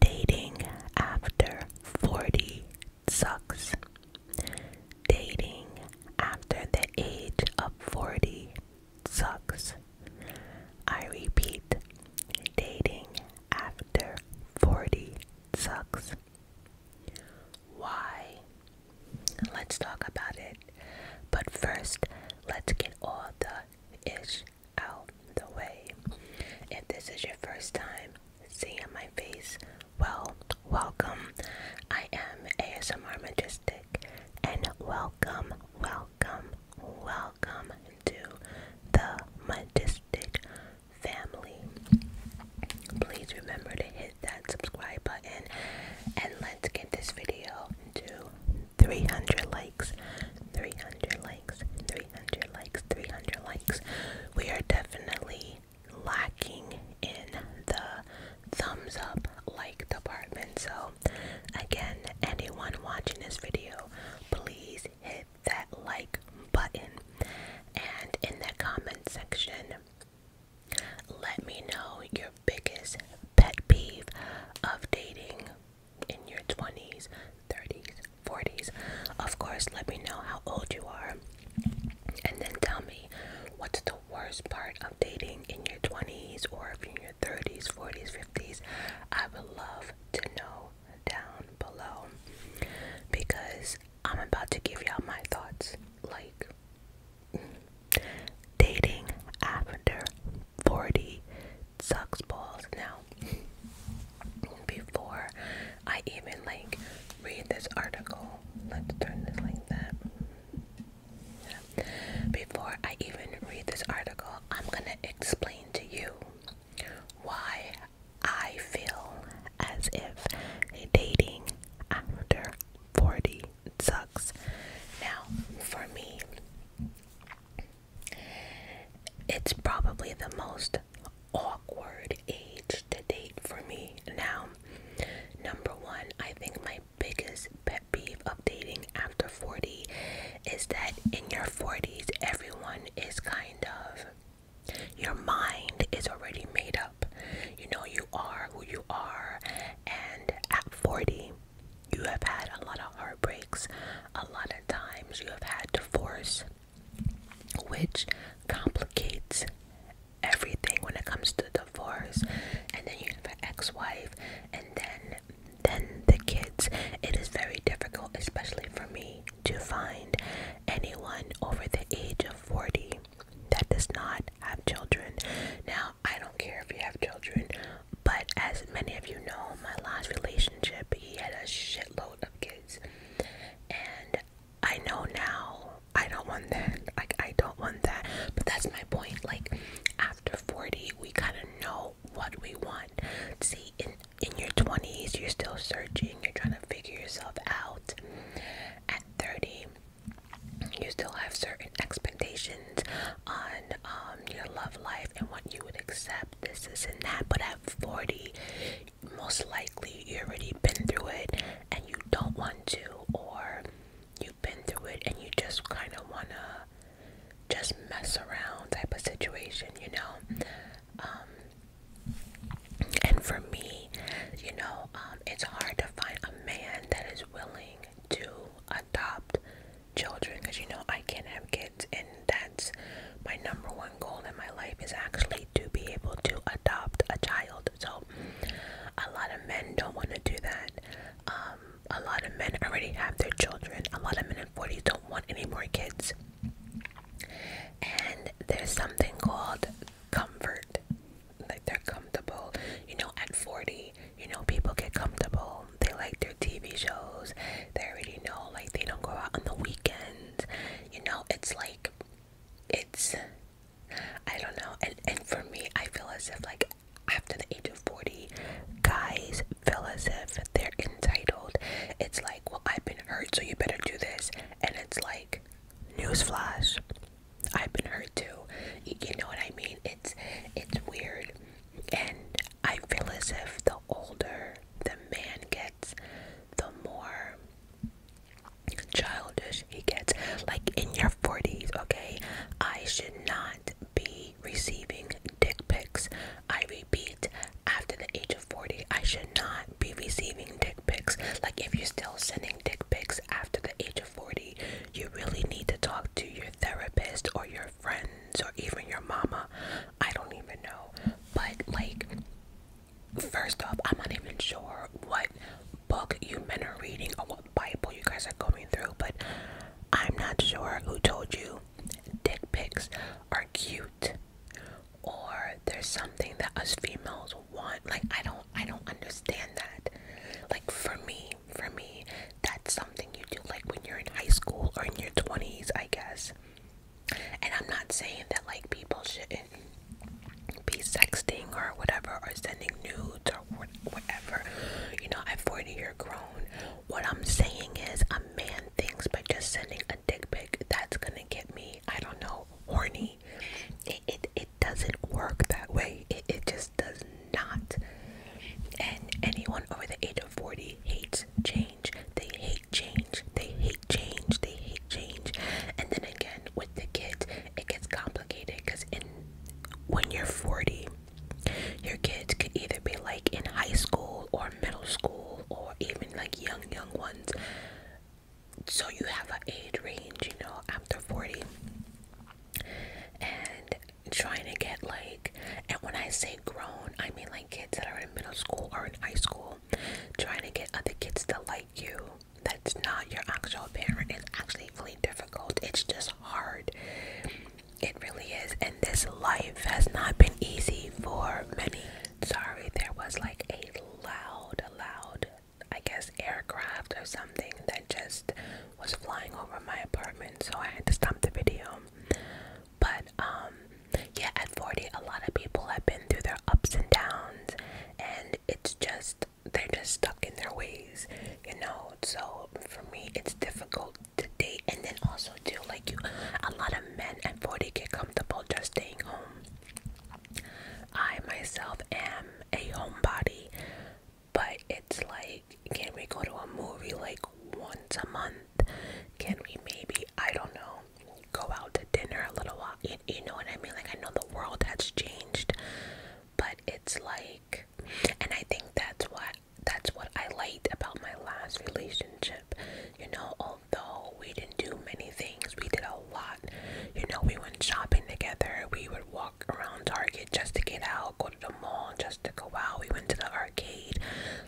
Dating after 40 sucks. Dating after the age of 40 sucks. I repeat, dating after 40 sucks. Why? Let's talk about it. But first, let's get all the ish out the way. If this is your first time seeing my face, well, welcome. I am ASMR Majestic, and welcome, welcome, welcome to the Majestic family. Please remember to hit that subscribe button and let's get this video to 300 likes, 300 likes, 300 likes, 300 likes. We are definitely lacking in the thumbs up like department. So, again, anyone watching this video, please hit that like button and in the comment section, let me know your biggest pet peeve of dating in your 20s, 30s, 40s? Of course, let me know how old you are and then tell me what's the worst part of dating in your 20s or if you're in your 30s, 40s, 50s. I would love to know down below because I'm about to give y'all my thoughts like mm, dating after 40 sucks balls now before I even like read this article let's turn this like that before I even read this article I'm gonna explain to you why I feel as if dating after 40 sucks now for me it's probably the most awkward age to date for me now. Number one, I think my biggest pet peeve updating after 40 is that in your 40s, everyone is kind of, your mind is already made up. You know, you are who you are, and at 40, you have had a lot of heartbreaks, a lot of times you have had divorce, which complicates everything when it comes to divorce. And then you have an ex wife, and then then the kids. It is very difficult, especially for me, to find anyone over the age of 40 that does not have children. Now, I don't care if you have children, but as many of you know, my last relationship, he had a shitload of kids. And I know now I don't want that. Like, I don't want that. But that's my point. Like, after 40, we kind of know what we want. See, in, in your 20s, you're still searching, you're trying to figure yourself out. At 30, you still have certain expectations on um, your love life and what you would accept, this, this, and that. But at 40, most likely you already been through it and you don't want to, or you've been through it and you just kind of want to just mess around type of situation, you know? Um, and for me, you know, um, it's hard to find a man that is willing to adopt children because you know I can't have kids, and that's my number one goal in my life is actually to be able to adopt a child. So, a lot of men don't want to do that. Um, a lot of men already have their children, a lot of men in 40s don't want any more kids. And there's something called comfort, like they're comfortable, you know, at 40, you know, people get comfortable they like their TV shows. They already know like they don't go out on the weekends. You know, it's like it's I don't know. And and for me, I feel as if like after the age of 40, guys feel as if they're entitled. It's like, well, I've been hurt, so you better do this. And it's like, newsflash, I've been hurt too. You know what I mean? It's it's weird, and I feel as if the older the man gets, the more childish he gets. Like in your 40s, okay? I should not be receiving dick pics. I repeat, after the age of 40, I should not be receiving dick pics. Like if you're still sending dick pics after the age of 40, you really need to talk to your therapist or your friends or even your mama I don't even know. But like first off, I'm not even sure what book you men are reading or what Bible you guys are going through, but I'm not sure who told you dick pics are cute or there's something that us females want. Like I don't I don't understand that. Like for me, for me, that's something you do like when you're in high school or in your 20s, I guess. And I'm not saying that like people shouldn't be sexting or whatever or sending nudes or whatever. You know, at 40 you're grown. What I'm saying is I'm man things by just sending a dick pic that's gonna get me, I don't know, horny. It it, it doesn't work that way. It it just does not. And anyone over the age of 40 hates change change, they hate change, they hate change, they hate change. And then again, with the kids, it gets complicated because in when you're 40, your kids could either be like in high school or middle school or even like young, young ones. So you have an age range, you know, after 40. And trying to get like, and when I say grown, I mean like kids that are in middle school or in high school, trying to get other kids to like you. That's not your actual parent. It's actually really difficult. It's just hard. It really is. And this life has not been easy for many. Sorry, there was like a loud, loud, I guess, aircraft or something that just was flying over my apartment. So I had to stop the video. But um, yeah, at 40 a lot of people have been through their ups and downs and it's just they're just stuck in their ways, you know. So for me it's difficult to date and then also too like you a lot of men at 40 get comfortable just staying home. I myself am a homebody, but it's like, can we go to a movie like once a month? Can we maybe, I don't know, go out to dinner a little while? You, you know what I mean? Like, I know the world has changed, but it's like, and I think that's what. That's what I liked about my last relationship. You know, although we didn't do many things, we did a lot. You know, we went shopping together. We would walk around Target just to get out, go to the mall just to go out. We went to the arcade.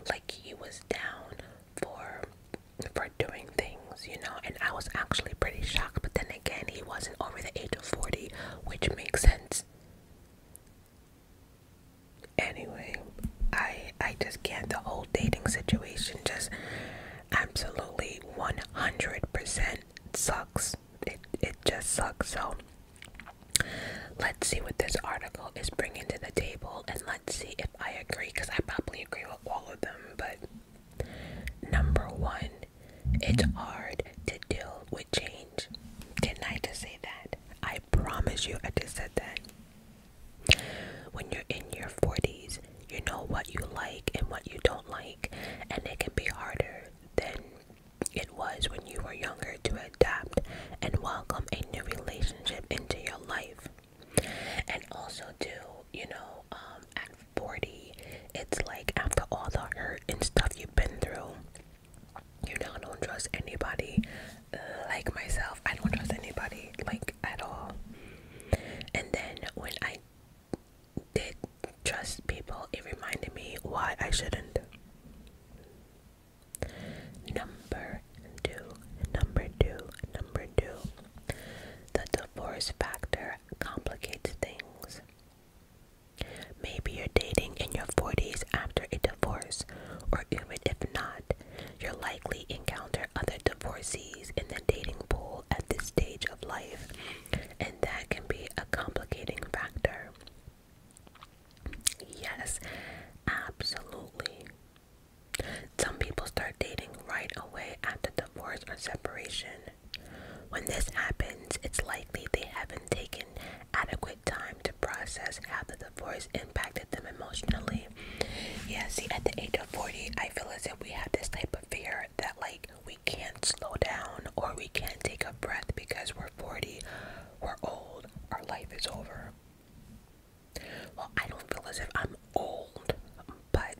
Like, he was down for for doing things, you know, and I was actually pretty shocked, but then again, he wasn't over the age of 40, which makes sense. Anyway, I I just can't the whole dating situation just absolutely 100% sucks. It it just sucks. So Let's see what this article is bringing to the table and let's see if I agree because I probably agree with all of them. But number one, it's hard to deal with change. Can I just say that? I promise you, I just said that. When you're in your 40s, you know what you like and what you don't like, and it can be harder than it was when you were younger to adapt and welcome a new relationship into your life. And also, do you know, um, at 40, it's like after all the hurt and stuff you've been through, you know, I don't trust anybody uh, like myself. I don't trust anybody like at all. And then when I did trust people, it reminded me why I shouldn't. Number two, number two, number two. The divorce factor complicates things. Maybe you're dating in your 40s after a divorce, or even if not, you are likely to encounter other divorcees in the dating pool at this stage of life, and that can be a complicating factor. Yes, absolutely. Some people start dating right away after divorce or separation. When this happens, it's likely they haven't taken adequate time to process how the divorce impacted them emotionally. Yeah, see, at the age of 40, I feel as if we have this type of fear that, like, we can't slow down or we can't take a breath because we're 40, we're old, our life is over. Well, I don't feel as if I'm old, but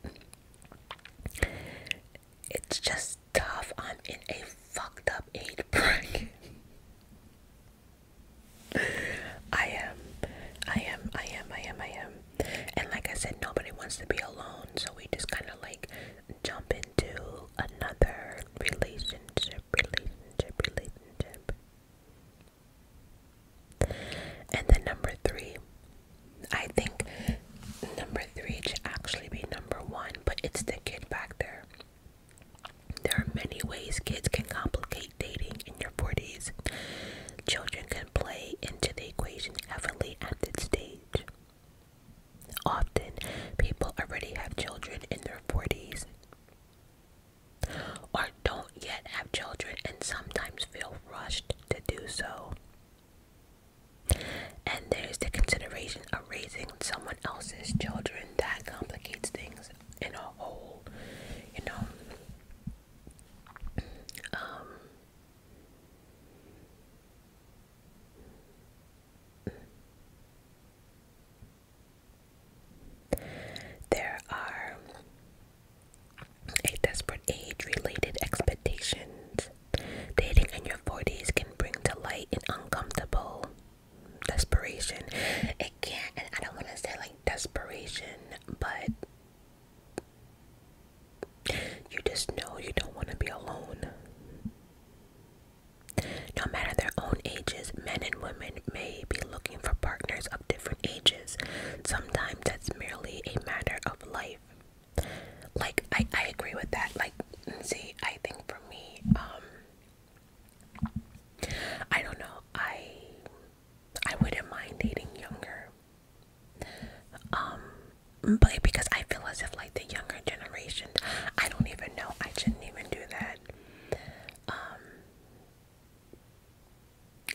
it's just tough. I'm in a fucked up age bracket. I am, I am, I am, I am, I am. And like I said, nobody wants to be alone, so we just kind of like jump into another relationship, relationship, relationship. And then number three, I think number three should actually be number one, but it's the kid factor. There are many ways kids can complicate dating in your 40s. Children can play into the equation heavily at this stage. Often, people already have children in their 40s or don't yet have children and sometimes feel rushed to do so. And there's the consideration of raising someone else's children that complicates things in a whole, you know. Um, there are a desperate age related expectations. Dating in your 40s can bring to light an uncomfortable desperation. It I don't want to say like desperation, but you just know you don't want to be alone. No matter their own ages, men and women may be looking for partners different ages. Sometimes that's merely a matter of life. Like I, I agree with that. Like see, I think for me, um I don't know, I I wouldn't mind dating younger. Um but because I feel as if like the younger generation I don't even know I shouldn't even do that. Um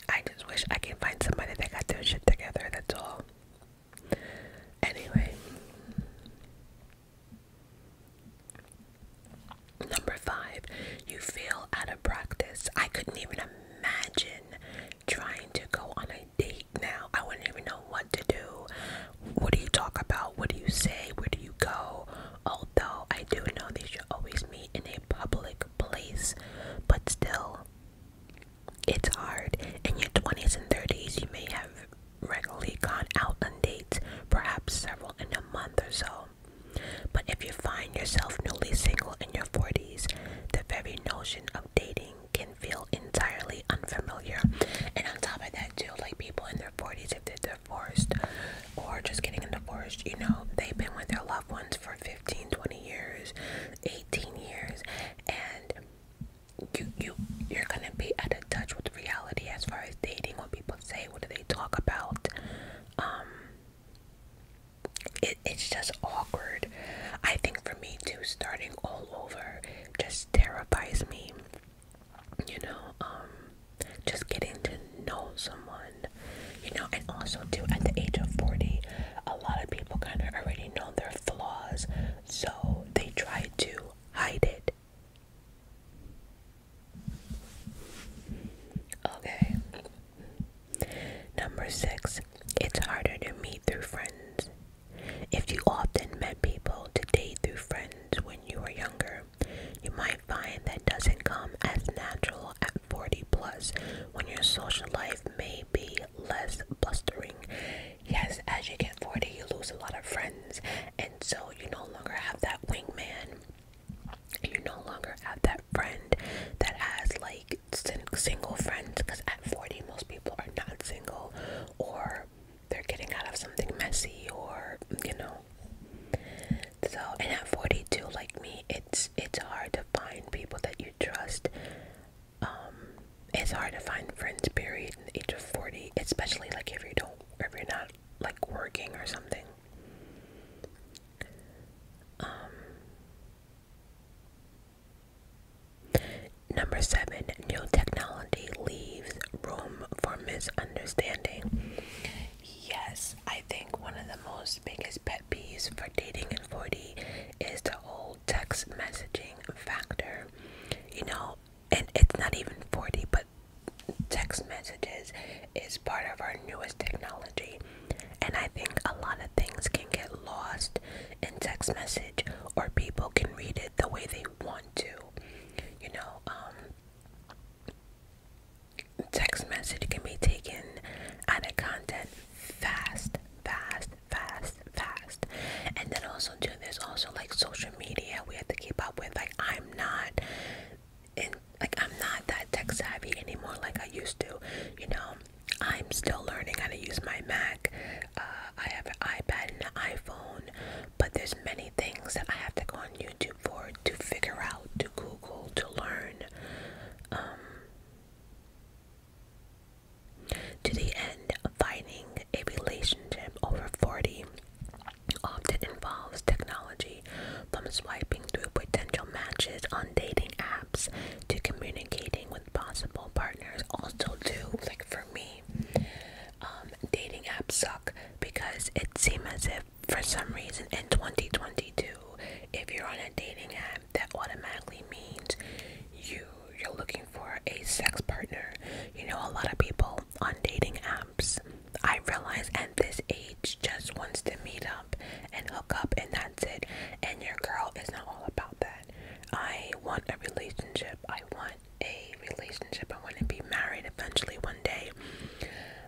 I just wish I can find somebody that got their shit together, that's all. Anyway. Number five, you feel out of practice. I couldn't even imagine trying to go on a date now. I wouldn't even know what to do. What do you talk about? What do you say? Where do you go? although I do know they should always meet in a public place, but still, it's hard. In your 20s and 30s, you may have regularly gone out on dates, perhaps several in a month or so. But if you find yourself newly single in your 40s, the very notion of dating can feel entirely unfamiliar. And on top of that, too, like people in their 40s, if they're divorced, or just getting a divorce, you know, they've been with their loved ones for 15, 20 years, 18 years, and you you you're gonna be out of touch with reality as far as dating, what people say, what do they talk about. Um it, it's just awkward. I think for me too, starting all over just terrifies me. You know, um just getting to know someone you know, and also too at the age of 40, a lot of people kind of already know their flaws, so they try to hide it. Okay. Number six, it's harder to meet through friends. If you often met people to date through friends when you were younger, you might might find that doesn't come as natural at 40 plus when your social life may be less blustering. Yes, as you get 40, you lose a lot of friends, and so you no longer have that wingman. You no longer have that friend that has like sin single friends because at 40, most people are not single or they're getting out of something messy or you know so, and at 42, like me, it's it's hard to find people that you trust. Um, it's hard to find friends. Period. In the age of 40, especially like if you don't, if you're not like working or something. Um, number seven, new technology leaves room for misunderstanding. Yes, I think one of the most biggest pet be used for dating in 40 is the whole text messaging factor. You know, and it's not even 40, but text messages is part of our newest technology. And I think a lot of things can get lost in text message or people can read it the way they want to. You know, um, text message can be taken out of content fast, fast, fast, fast. And then also too, there's also like social media we have to keep up with. Like I'm not in like I'm not that tech savvy anymore like I used to, you know. I'm still learning how to use my Mac. Uh, I have an iPad and an iPhone, but there's many things that I have to go on YouTube for to figure out, to Google, to learn. Um, to the end, of finding a relationship over 40 often involves technology, from swiping through potential matches on dating apps to communicating with possible partners. Also, do like for me, um, dating apps suck because it seems as if for some reason in 2022 if you're on a dating app that automatically means you you're looking for a sex partner you know a lot of people on dating apps i realize at this age just wants to meet up and hook up and that's it and your girl is not all about that i want a relationship i want a relationship i want to be married eventually one day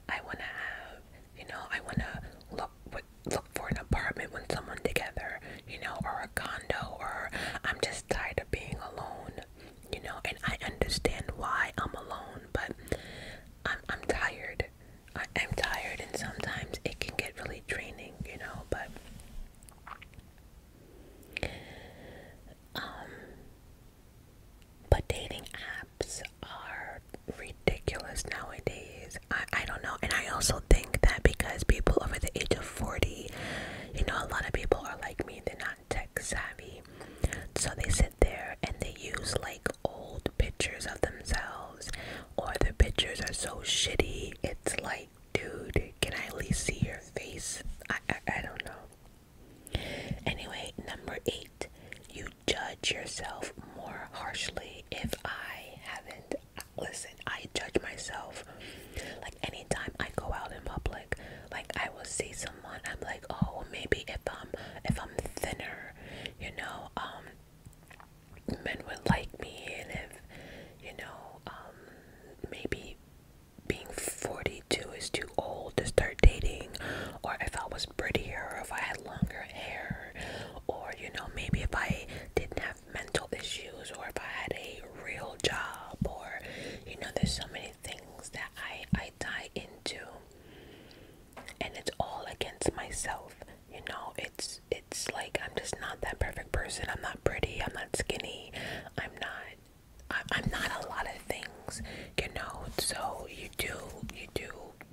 i want to have you know i want to look look for an apartment when someone together, you know, or a condo, or I'm just tired of being alone, you know, and I understand why I'm alone, but I'm I'm tired. I, am tired, and sometimes it can get really draining, you know, but. Um, but dating are ridiculous nowadays. I, I don't know. And I also think that because people over the age of 40, you know, a lot of people are like me, they're not tech savvy. So they sit there and they use like old pictures of themselves, or the pictures are so shitty. It's like, dude, can I at least see your face? I, I, I don't know. Anyway, number eight, you judge yourself more harshly if I haven't. listened. I judge myself. Like anytime I go out in public, like I will see someone, I'm like, oh, maybe if I'm if I'm thinner, you know, um, men would like me, and if you know, um, maybe being 42 is too old to start dating, or if I was prettier, or if I had longer hair better or you know maybe if i didn't have mental issues or if i had a real job or you know there's so many things that i i tie into and it's all against myself you know it's it's like i'm just not that perfect person i'm not pretty i'm not skinny i'm not I, i'm not a lot of things you know so you do you do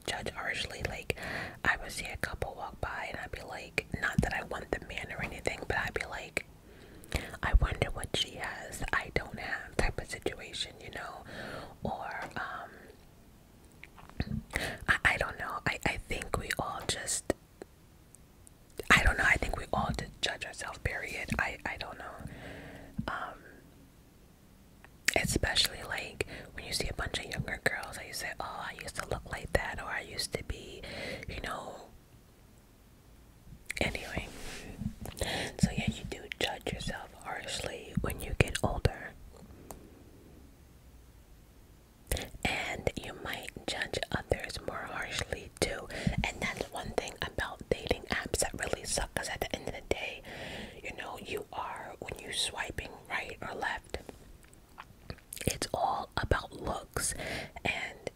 judge harshly. Like, I would see a couple walk by, and I'd be like, not that I want the man or anything, but I'd be like, I wonder what she has, I don't have, type of situation, you know? Or, um, I, I don't know. I, I think we all just, I don't know. I think we all just judge ourselves, period. I, I don't know. Um, especially like when you see a bunch of younger girls and you say oh i used to look like that or i used to be you know anyway so yeah you do judge yourself harshly when you get older and you might judge others more harshly too and that's one thing about dating apps that really suck because at the end of the day you know you are when you swiping right or left it's all about looks and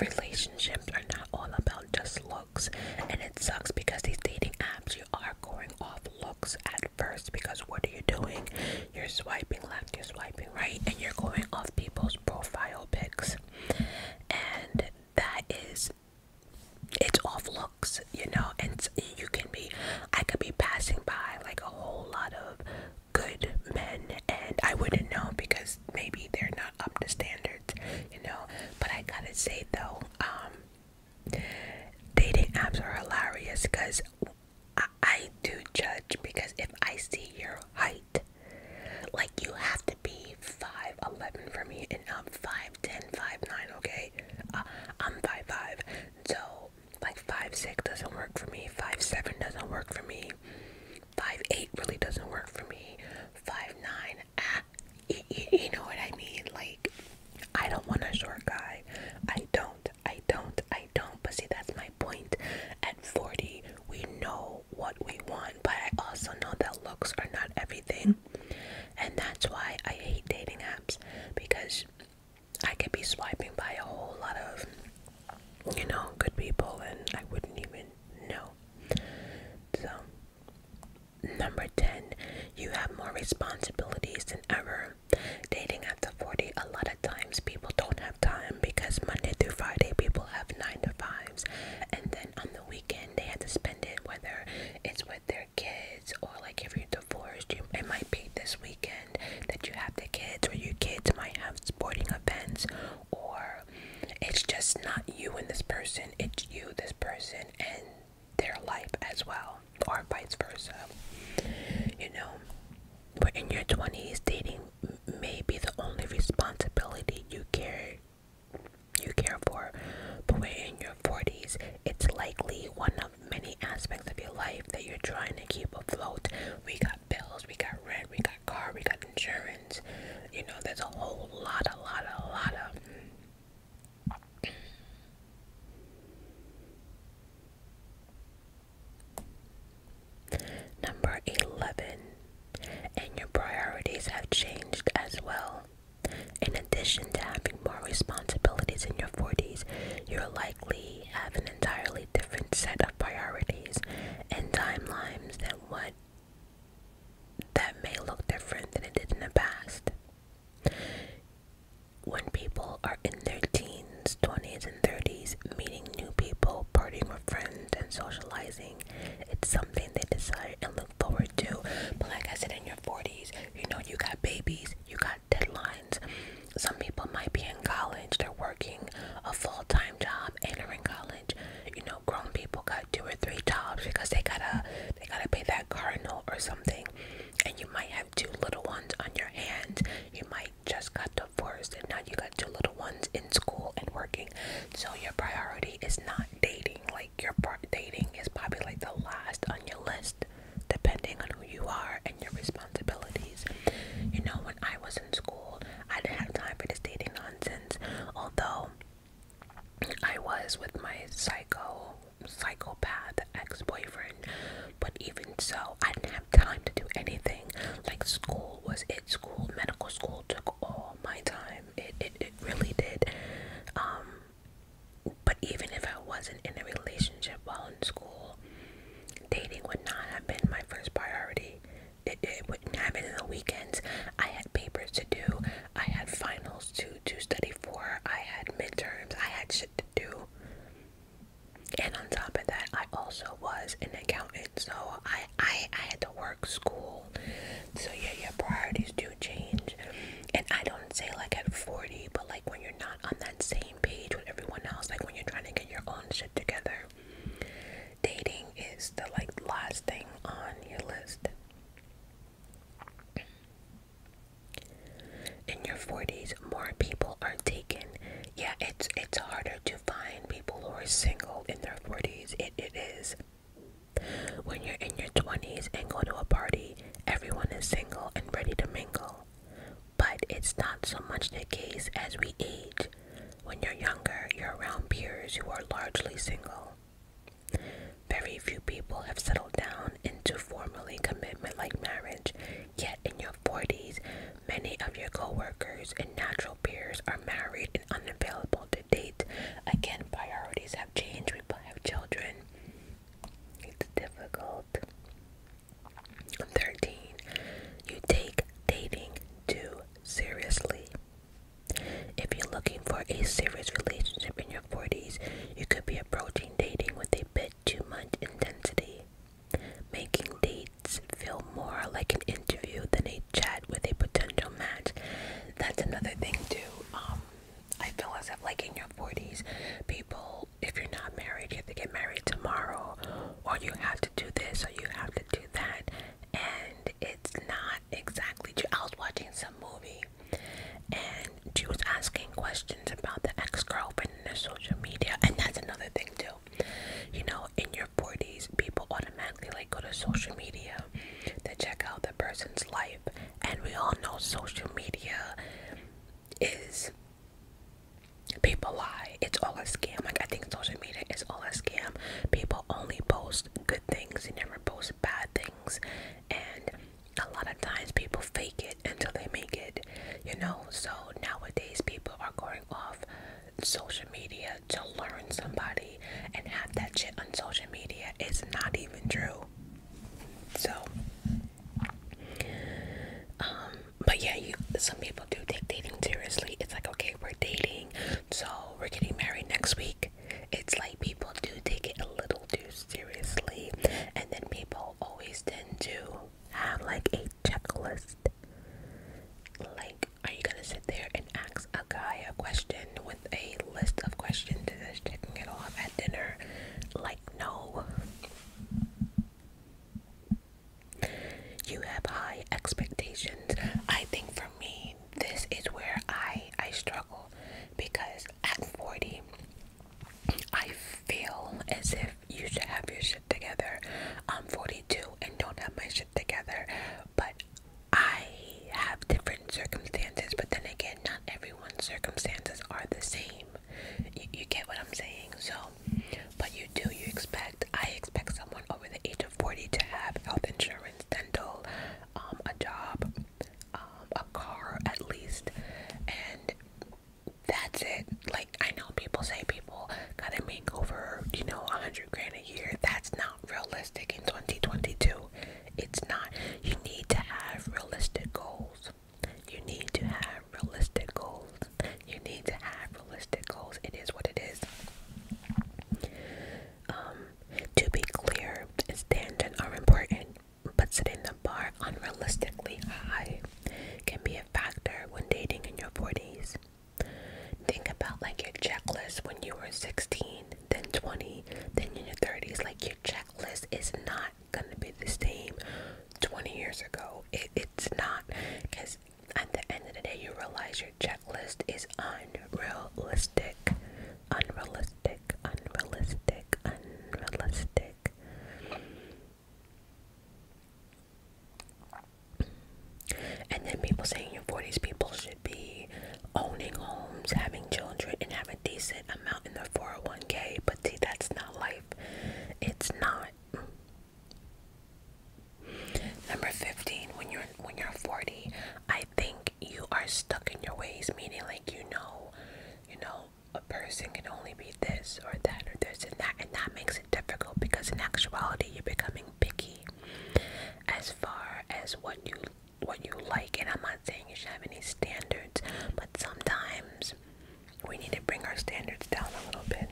relationships are not all about just looks and it sucks because these dating apps you are going off looks at first because what are you doing you're swiping left you're swiping right and you're going off people's profile pics and that is it's off looks, you know, and you can be, I could be passing by like a whole lot of good men, and I wouldn't know because maybe they're not up to standards, you know. But I gotta say though, um, dating apps are hilarious because I, do judge because if I see your height, like you have to be 5'11 for me, and I'm 5'10, five nine, okay? Uh, I'm five five. So like five six doesn't work for me. Five seven doesn't work for me. Five eight really doesn't work for me. Five nine, ah, you, you know what I mean? Like I don't want a short guy. I don't. I don't. I don't. But see, that's my point. At forty, we know what we want, but I also know that looks are not everything, and that's why I hate dating apps because I could be swiping by a whole lot of, you know, good people and I wouldn't even know. So, number 10, you have more responsibilities than ever. Dating after 40, a lot of times people don't have time because Monday through Friday people have 9 to 5s. And then on the weekend, they have to spend it whether it's with their kids, or like if you're divorced, you, might be this weekend that you have the kids, or your kids might have sporting events, or it's just not you and this person, it's you, this person, and their life as well, or vice versa. You know, we in your 20s, dating may be the only responsibility you care you care for, but when in your 40s, it's likely one of many aspects of your life that you're trying to keep afloat. We got bills, we got rent, we got car, we got insurance. You know, there's a whole lot, a lot, a lot of. Number 11. And your priorities have changed as well. In addition to having more responsibilities in your 40s, you you're likely have an entirely different set of priorities and timelines than what that may look different than it did in the past. When people are in their teens, 20s, and 30s, meeting new people, partying with friends, and socializing, it's something they desire and look forward to. But like I said, in your 40s, you know, you got babies, you got got deadlines. Some people might be in college, they're working a full time job and they're in college. You know, grown people got two or three jobs because they gotta they gotta pay that car note or something. And you might have two little ones on your hands. You might just got divorced and now you got two little ones in school and working. So your priority is not dating. Like your dating is probably like the last on your list depending on who you are and your responsibilities. You know, when I was in school, I didn't have time for this dating nonsense, although I was with my psycho psychopath ex-boyfriend but even so i didn't have time to do anything like school was it school medical school took all my time it it, it really did um but even if I wasn't in a relationship while in school, dating would not have been my first priority. It, it would happen in the weekends. I had papers to do. I had finals to, to study for. I had midterms. I had shit to do. And on top of that, I also was an accountant, so I, I, I had to work school. So yeah, your priorities do change. And I don't say like at 40, but like when you're not on that same page with everyone else, like when you're trying to get your own shit together. Dating is the like last thing on your list. In your 40s, more people are taken. Yeah, it's it's harder to find people who are single in their 40s. It it is. When you're in your 20s and go to a party, everyone is single and ready to mingle but it's not so much the case as we age. When you're younger, you're around peers who are largely single. Very few people have settled down into formally commitment like marriage, yet in your 40s, many of your coworkers and natural peers are married and unavailable to date. Again, priorities have changed. We have children. It's difficult. 13. You take dating too seriously. If you're looking for a serious relationship in your 40s, you could be approaching dating with a bit too much intensity. Making dates feel more like an interview than a chat with a potential match. That's another thing, too. Um, I feel as if, like, in your 40s, people if you're not married, you have to get married tomorrow, or you have to do this, or you have to do that. And it's not exactly I was watching some movie, and she was asking questions about the ex girlfriend in their social media. And that's another thing, too. You know, in your 40s, people automatically like go to social media to check out the person's life. And we all know social media is People lie. It's all a scam. Like I think social media is all a scam. People only post good things. They never post bad things. And a lot of times people fake it until they make it. You know. So nowadays people are going off social media to learn somebody and have that shit on social media. is not even true. So um, but yeah, you some people do take dating seriously. It's like okay, we're dating, so we're getting married next week. It's like people do take it a little too seriously, and then people always tend to have like a checklist. Like, are you gonna sit there and ask a guy a question with a list of questions checking it off at dinner? Like, no. You have high expectations. I think for me, this is where I I struggle because at 40, I feel as if you should have your shit together. I'm 42 and don't have my shit together, but I have different circumstances, but then again, not everyone's circumstances are the same. You, get what I'm saying? So, but you do, you expect, I expect someone over the age of 40 to have health insurance, dental, um, a job, um, a car at least, and that's it. Like, I know people say people gotta make over, you know, a 100 grand a year. That's not realistic in 2022. It's not. You need to have realistic goals. You need to have realistic goals. You need to have realistic goals. It is what it is. Um, to be clear, standards are important, but setting the bar unrealistically high can be a factor when dating in your 40s. Think about like your checklist when you were 16, then 20, then in your 30s. Like your checklist is not gonna be the same 20 years ago. it's not because at the end of the day, you realize your checklist is unrealistic, unrealistic, unrealistic, unrealistic. And then people saying your 40s people should be owning homes, having children, and have a decent amount in their 401k. But see, that's not life. It's not. Number 15, when you're when you're 40, I think you are stuck in your ways, meaning like you know, you know, a person can only be this or that or this and that, and that makes it difficult because in actuality you're becoming picky as far as what you what you like. And I'm not saying you should have any standards, but sometimes we need to bring our standards down a little bit.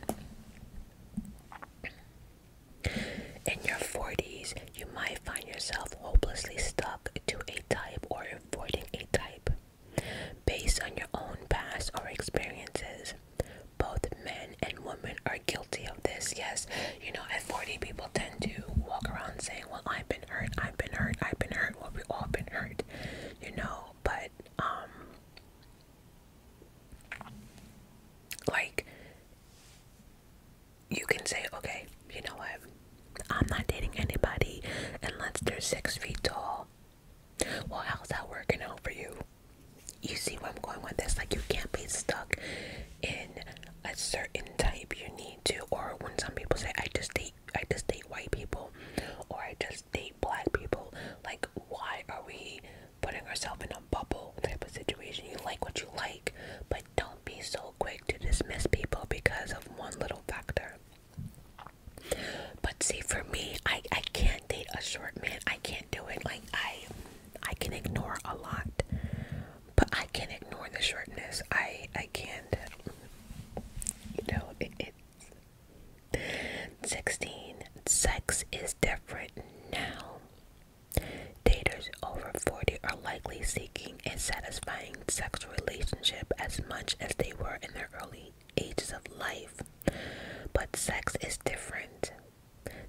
In your 40s, you might find yourself hopelessly stuck to a type or avoiding a type based on your own past or experiences. Both men and women are guilty of this. Yes, you know, at 40, people tend to walk around saying, Well, I've been hurt, I've been hurt, I've been hurt. Well, we've all been hurt, you know, but um, like, you can say, okay, you know what? I'm not dating anybody unless they're six feet tall. Well, how's that working out for you? You see where I'm going with this? Like, you can't be stuck in a certain type. You need to, or when some people say, "I just date, I just date white people," or "I just date black people," like, why are we putting ourselves in a bubble type of situation you like what you like but don't be so quick to dismiss people because of one little factor but see for me i i can't date a short man i can't do it like i i can ignore a lot but i can ignore the shortness i i can't you know it 16. Sex is different now. Daters over 40 are likely seeking a satisfying sexual relationship as much as they were in their early ages of life. But sex is different.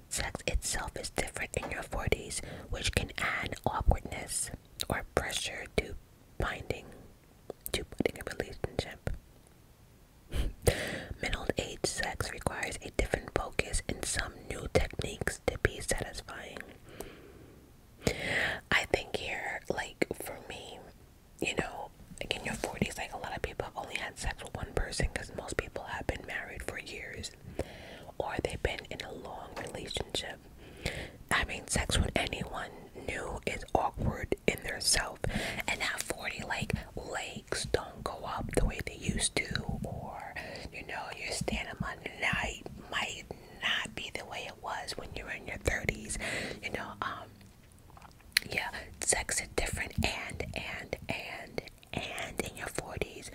Sex itself is different in your 40s, which can add awkwardness or pressure to binding to putting a relationship. Middle age sex requires a different focus and some new techniques to be satisfying. I think here, like for me, you know, like in your 40s, like a lot of people have only had sex with one person because most people have been married for years or they've been in a long relationship. Having sex with anyone new is awkward in their self and not 40 like lakes don't go up the way they used to or you know your stand up on night might not be the way it was when you were in your 30s you know um, yeah sex is different and and and and in your 40s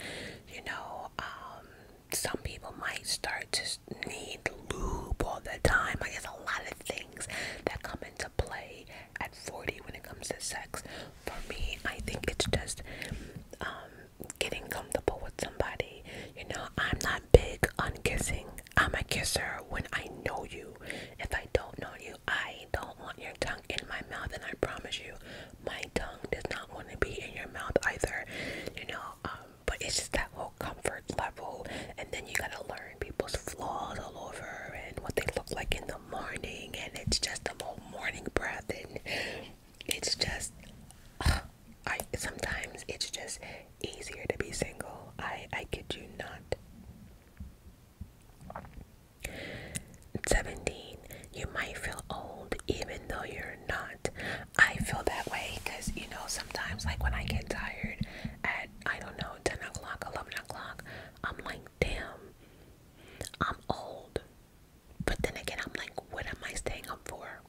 you know um some people might start to need lube all the time I guess a lot of things that come to play at 40 when it comes to sex. For me, I think it's just um, getting comfortable with somebody. You know, I'm not big on kissing. I'm a kisser when I know you. If I don't know you, I don't want your tongue in my mouth, and I promise you, my tongue does not want to be in your mouth either. You know, um, but it's just that whole comfort level, and then you gotta learn people's flaws all over and what they look like in the morning and it's just the whole morning breath and it's just I sometimes it's just easier to be single. I I kid you not. 17. You might feel old even though you're not. I feel that way because you know sometimes like when I get tired at I don't know 10 o'clock, 11 o'clock, I'm like, damn, I'm old. But then again, I'm like, what am I staying up for?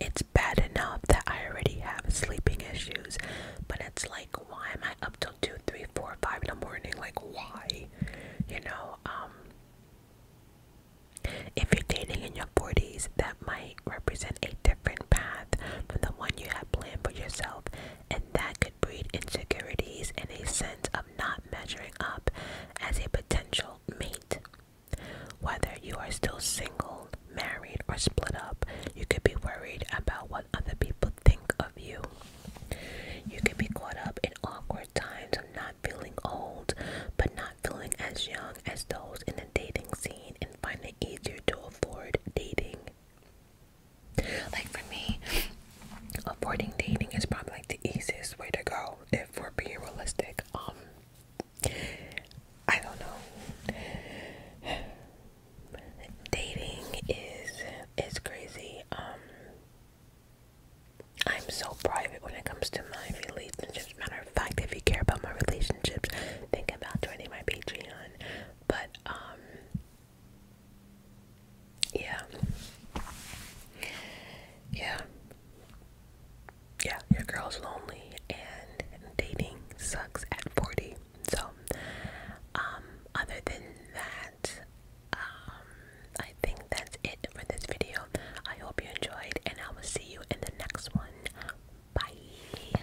It's bad enough that I already have sleeping issues, but it's like, why am I up till two, three, four, five in the morning? Like, why? You know, um, if you're dating in your 40s, that might represent a different path from the one you had planned for yourself, and that could can breed insecurities and a sense of not measuring up as a potential mate. Whether you are still single, married, or split up, you could be worried about what other people think of you. You could be caught up in awkward times of not feeling old, but not feeling as young as those in the dating scene and find it easier to afford dating. Like for me, avoiding dating is probably the easiest way to go if we're being realistic. Um, I don't know. Dating is is crazy. Um, I'm so private when it comes to my relationships. Matter of fact, if you care about my relationships, think about joining my Patreon. But um, yeah. Yeah. Yeah, your girl's lonely and dating sucks at 40. So, um, other than that, um, I think that's it for this video. I hope you enjoyed, and I will see you in the next one. Bye.